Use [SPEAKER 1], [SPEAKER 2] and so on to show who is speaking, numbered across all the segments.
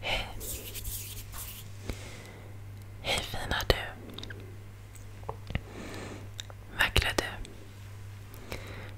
[SPEAKER 1] Hej. Hej fina du. Vackra du.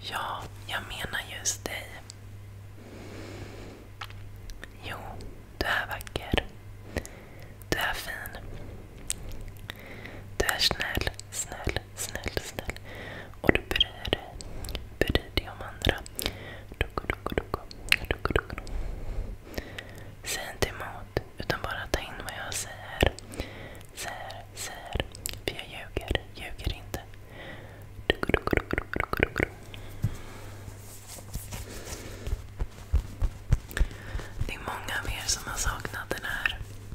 [SPEAKER 1] Ja, jag menar just dig. Jo, du är vacker. Du är fin. Du är snäll, snäll, snäll, snäll. Och du bryr dig. om andra. Säg inte emot, utan bara ta in vad jag säger. Säger, säger. För jag ljuger, ljuger inte. Det är många av er som har saknat den här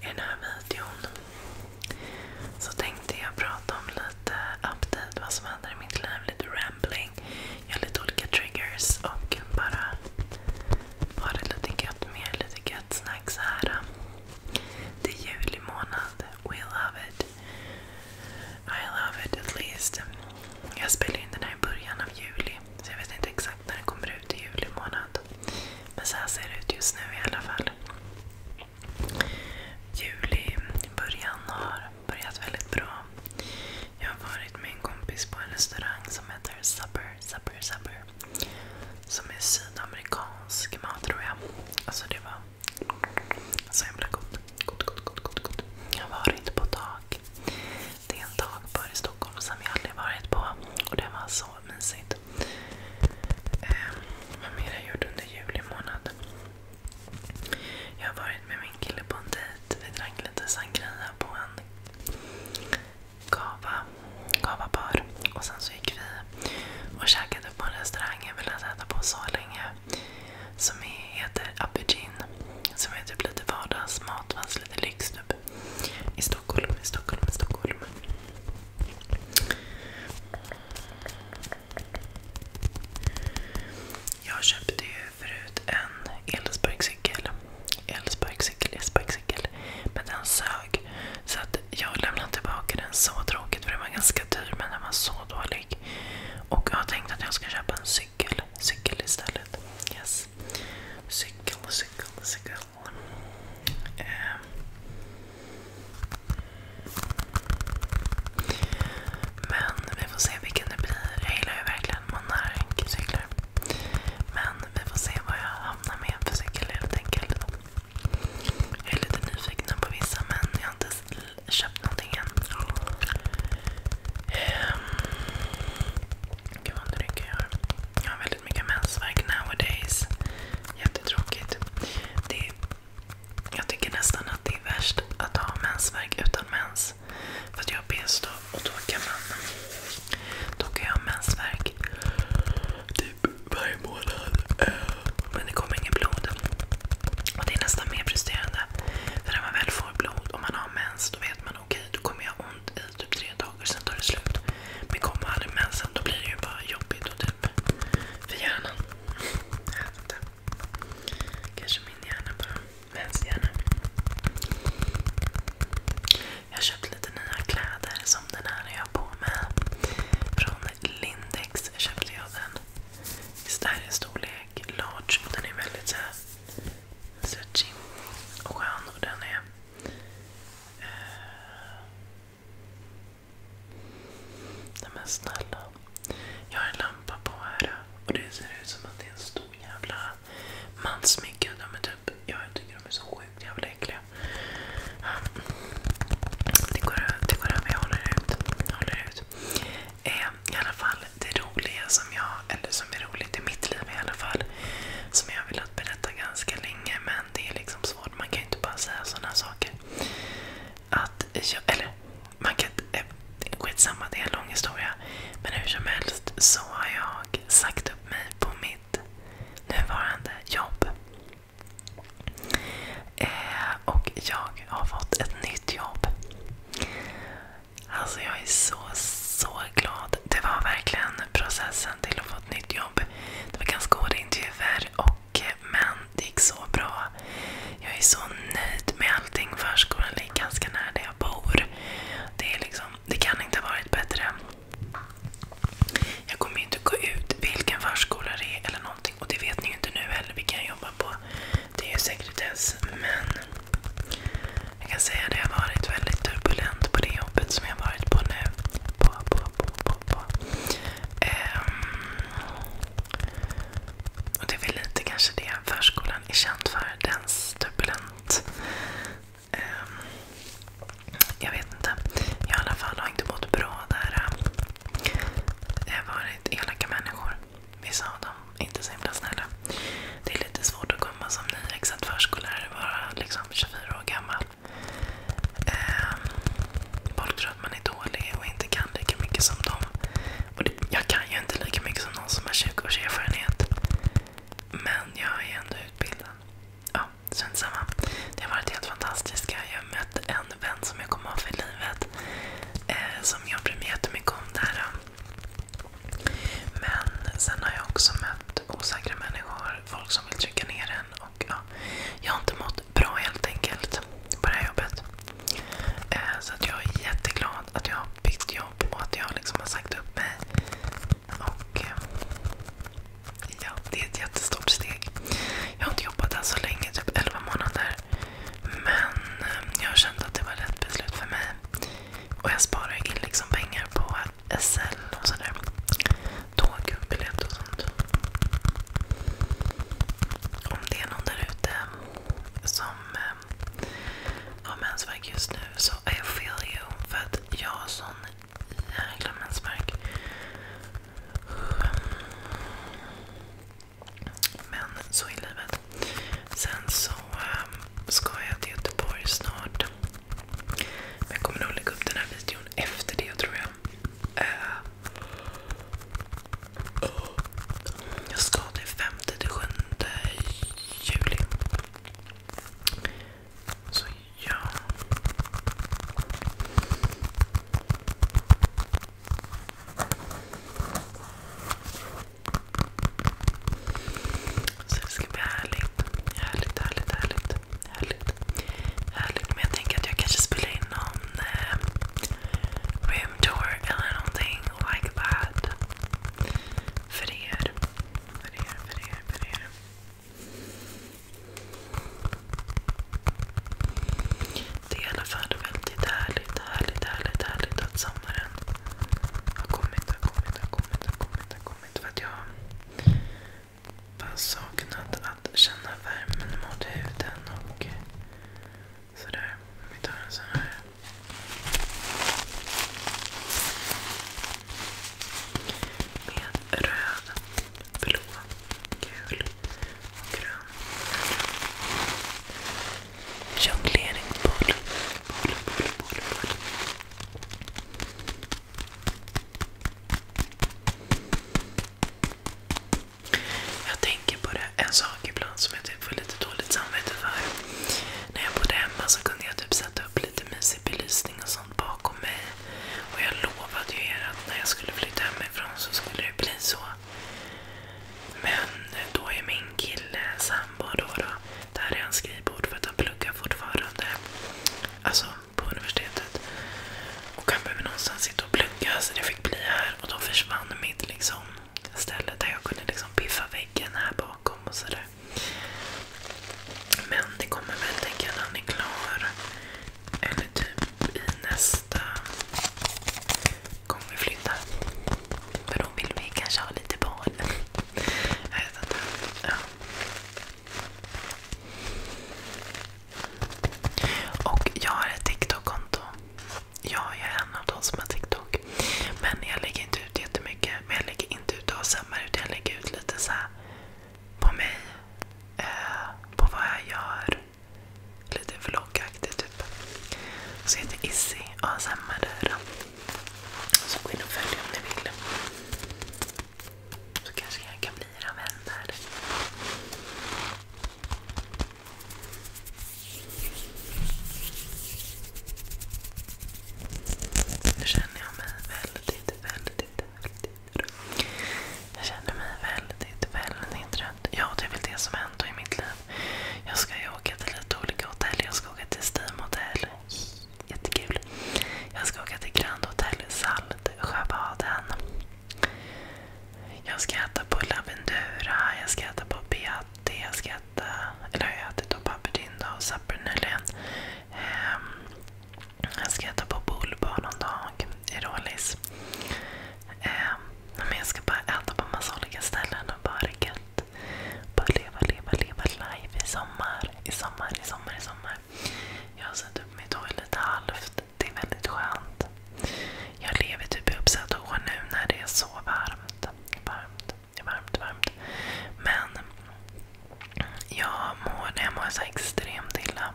[SPEAKER 1] i den här videon så tänkte jag prata om lite update, vad som händer i mitt liv, lite rambling, göra lite olika triggers och bara ha det lite gött med lite gött snacks här. Det är juli månad. We love it. I love it at least. Jag spelar in den här i början av juli så jag vet inte exakt exakt när det kommer ut i juli månad. Men så här ser det ut just nu i alla fall. Juli, början har börjat väldigt bra. Jag har varit med en kompis på en restaurang som heter Supper, Supper, Supper. Som är sydamerikansk mat tror jag. Alltså det var så himla gott. gott, gott, gott, gott, gott. Jag har varit på tak. Det är en takbar i Stockholm som jag aldrig varit på. Och det var så mysigt. Eh, vad mer har gjort under juli månad? Jag har varit med min kille på en dejt. Vi drack lite sangria på en kava, Och sen så gick vi och käkade på en restaurang jag velat äta på så länge. Som heter Abidjin. Som är typ lite vardagsmat lite lyx typ. Stockholm, i Stockholm, i Stockholm. Jag köpte ju förut en elsparkcykel. Elsparkcykel, elsparkcykel. Men den sög. Så att jag lämnade tillbaka den. Så tråkigt för den var ganska dyr men den var så dålig. Och jag har tänkt att jag ska köpa en cykel. Cykel istället. Yes. Cykel, cykel, cykel. Ehm. Men vi får se vilken det blir. Jag gillar ju verkligen Monark-cyklar. Men vi får se vad jag hamnar med för cykel helt enkelt. Jag är lite nyfiken på vissa men jag har inte köpt någonting än. Ehm jag har. väldigt mycket mensvärk nowadays. Jättetråkigt. jag tycker nästan att det är värst att ha mensvärk utan mens. För att jag har p-stå och då kan jag ha mensvärk typ varje månad. Men det kommer inget blod. Och det är nästan mer frustrerande. För när man väl får blod och man har mens, då vet man okej, okay, då kommer jag ha ont i typ tre dagar, sen tar det slut. Men kommer aldrig mensen då blir det ju bara jobbigt och typ för hjärnan. Jag vet inte. Kanske min hjärna bara. Menshjärna. Jag köpte lite nya kläder som den här är jag på med. Från Lindex köpte jag den. Visst är det storlek large och den är väldigt så här stretchig och skön. Och den är eh, Nej men snälla. Jag har en lampa på här och det ser ut som att det är en stor jävla mansmygga. Typ, jag tycker de är så sjukt jävla äckliga. Det går över, jag håller ut. Eh, I alla fall, det roliga som jag, eller som är roligt i mitt liv i alla fall, som jag har velat berätta ganska länge men det är liksom svårt barn. Man kan ju inte bara säga sådana saker. Att jag, eller, man kan inte... Eh, skitsamma, det är en lång historia. Men hur som helst så har jag sagt upp mig på mitt nuvarande jobb. Eh, och jag har fått ett nytt jobb. Alltså jag är så, så glad. Det var verkligen processen till att få på nytt jobb. Det var ganska hårda intervjuer, och, eh, men det gick så bra. Jag är så nöjd med allting. Förskolan ligger ganska nära där jag bor. Det, är liksom, det kan inte ha varit bättre. Jag kommer ju inte gå ut vilken förskola det är eller någonting. Och det vet ni ju inte nu heller vilken jag jobbar på. Det är ju sekretess. Men jag kan säga att det har varit väldigt turbulent på det jobbet som jag har varit på nu. På, på, på. Ehm, det är väl lite kanske det förskolan är känd för. Dens, turbulent. Ehm, jag vet inte. Jag i alla fall har inte mått bra där. Det har varit elaka människor. Vissa av dem inte så himla snälla. Det är lite svårt att komma som nyexad förskollärare, vara liksom 24 år gammal. Ehm, folk tror att man är dålig och inte kan lika mycket som dem. jag kan ju inte lika mycket som någon som har 20 års Men jag är ändå utbildad. Ja, strunt Det har varit helt fantastiskt. Jag har mött en vän som jag kommer ha för livet. Eh, som jag bryr mig jättemycket om. Men sen har jag också mött osäkra människor. Folk som vill trycka ner en och, ja, jag har inte mått bra helt enkelt på det här jobbet. Eh, så att jag är jätteglad att jag har bytt jobb och att jag liksom har sagt upp mig. Och, eh, ja, det är ett jättestort steg. Jag har inte jobbat där så länge, typ 11 månader. Men eh, jag känt att det var rätt beslut för mig. Och jag sparar in liksom pengar på SL och sådär. Tågbiljett och sånt. Om det är någon där som eh, har mensvärk just nu så I feel you. För att jag har sån jäkla mensvärk. Men så är livet. Sen så ehm, ska jag till Göteborg snart. Men jag kommer nog lägga upp den här videon efter det tror jag. Eh, jag ska till 5 till 7 juli. Så ja. Så det ska bli härligt. Härligt, härligt, härligt. Härligt. Härligt. Men jag tänker att jag kanske spelar in någon eh, room tour eller någonting like that. För er. För er, för er, för er. Det är i alla fall väldigt härligt, härligt, härligt, härligt att sommaren har kommit, har kommit, har kommit, har kommit, har kommit. För att jag bara saknat att känna värmen mot huden sådär. Vi tar en sån här. Med röd, blå, gul och grön. Jongleringsboll. Boll, boll, boll, boll. Jag tänker på en sak ibland som jag typ får lite dåligt samvete för. När jag bodde hemma så kunde jag typ sätta upp lite mysig belysning och sånt bakom mig. Och jag lovade ju er att när jag skulle flytta hemifrån så skulle det bli så. Men då är min kille, sambo då, är hans skrivbord för att han pluggar fortfarande. Alltså, på universitetet. Och han behöver någonstans sitta och plugga så det fick bli här. Och då försvann mitt liksom, ställe där jag kunde liksom, piffa väggen här bakom och sådär. Men det kommer väl tänka när han är klar. Eller typ i nästa gång vi flyttar. För då vill vi kanske ha lite barn. Jag vet inte. Ja. Och jag har ett TikTok-konto. Jag är en av de som har TikTok. Men jag lägger inte ut jättemycket. Men jag lägger inte ut ASMR utan jag lägger ut lite så på mig. Eh, på vad jag gör. Lite vloggaktigt typ. Så jag heter Izzy ASMR Så gå in och följ om ni vill. Så kanske jag kan bli era vän där. Nu känner jag mig väldigt, väldigt, väldigt trött. Jag känner mig väldigt, väldigt trött. Ja, det är väl det som händer i mitt liv. Jag ska ju åka till lite olika hotell. Jag ska åka till Steam Hotel. Jättekul. Jag ska åka till Grand Hotel Salt. Sjöbaden. Jag ska äta på Lavendura, jag ska äta på Beate, jag ska äta, eller jag har ätit på Pappertinda och Sapper nyligen. Ehm, jag ska äta på Bullbar någon dag i Rålis. Ehm, men jag ska bara äta på massa olika ställen och bara gött. Bara leva, leva, leva live i sommar. I sommar, i sommar, i sommar. Jag har satt upp mitt hår lite halvt. Det är väldigt skönt. Jag lever typ i uppsatt hår nu när det är så varmt. Varmt, varmt, varmt. Men jag mår, extremt illa.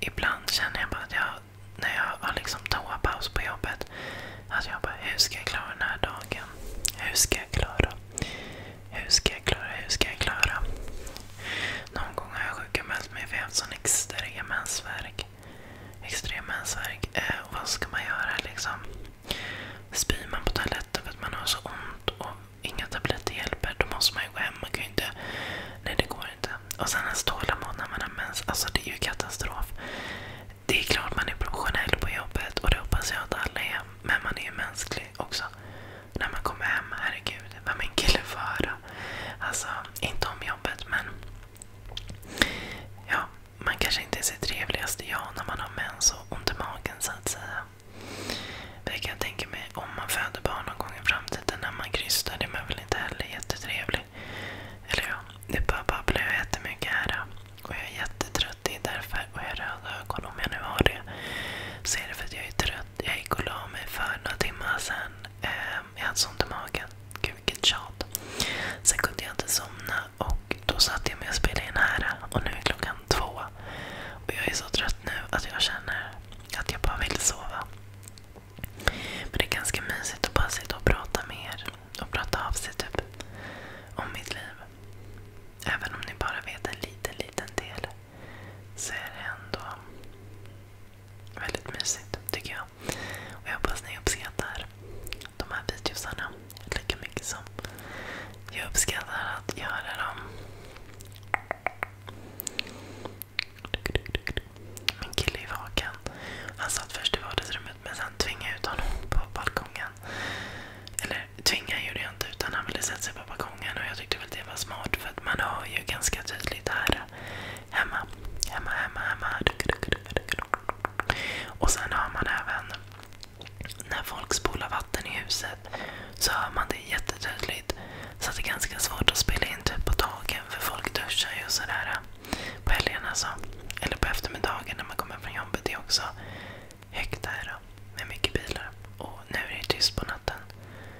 [SPEAKER 1] ibland känner jag bara att jag, när jag har liksom toapaus på jobbet, att jag bara hur ska jag klara den här dagen? Hur ska jag klara? Hur ska jag klara? Hur ska jag klara? Någon gång har jag sjukanmält mig för jag har haft sån extrem mensvärk. Eh, vad ska man göra liksom? Spyr man på toaletten för att man har så ont och inga tabletter hjälper, då måste man ju gå hem. Man kan ju inte... Nej, det går inte. Och sen ens tålamod när man har mens. Alltså det är ju katastrof. Det är klart man är professionell på jobbet och det hoppas jag att alla är. Men man är ju mänsklig också när man kommer hem. Herregud, vad min kille får höra. Alltså, inte om jobbet men... Ja, man kanske inte är sitt trevligaste jag när man har mens och ont i magen så att säga. Det kan jag tänka mig om man föder barn någon gång i framtiden när man krystar. Det är man väl inte heller jättetrevlig. Eller ja, det bara babblar jättemycket här. Och jag är jättetrött. Det är därför. Och jag har röda ögon. Om jag nu har det så är det för att jag är trött jag gick och la mig för några timmar sedan. Ehm, jag hade så ont i magen. Gud vilket tjat. Sen kunde jag inte somna och då satt jag mig och spelade in här. Och nu är klockan två. Och jag är så trött nu att jag känner att jag bara vill sova. Men det är ganska mysigt att bara sitta och prata med er. Och prata av sig typ om mitt liv. Även om ni bara vet en liten, liten del så är det ändå väldigt mysigt tycker jag. Och jag hoppas ni uppskattar de här videosarna lika mycket som jag uppskattar att göra dem. Min kille är vaken. Han satt först i vardagsrummet men sen tvingade jag ut honom på balkongen. Eller tvingade gjorde jag inte utan han ville sätta sig på balkongen gången och jag tyckte väl det var smart för att man hör ju ganska tydligt här hemma, hemma, hemma, hemma. Och sen hör man även när folk spolar vatten i huset så hör man det jättetydligt. Så det är ganska svårt att spela in typ på dagen för folk duschar ju och sådär på helgerna. alltså. Eller på eftermiddagen när man kommer från jobbet. Det är också högt här med mycket bilar. Och nu är det tyst på natten.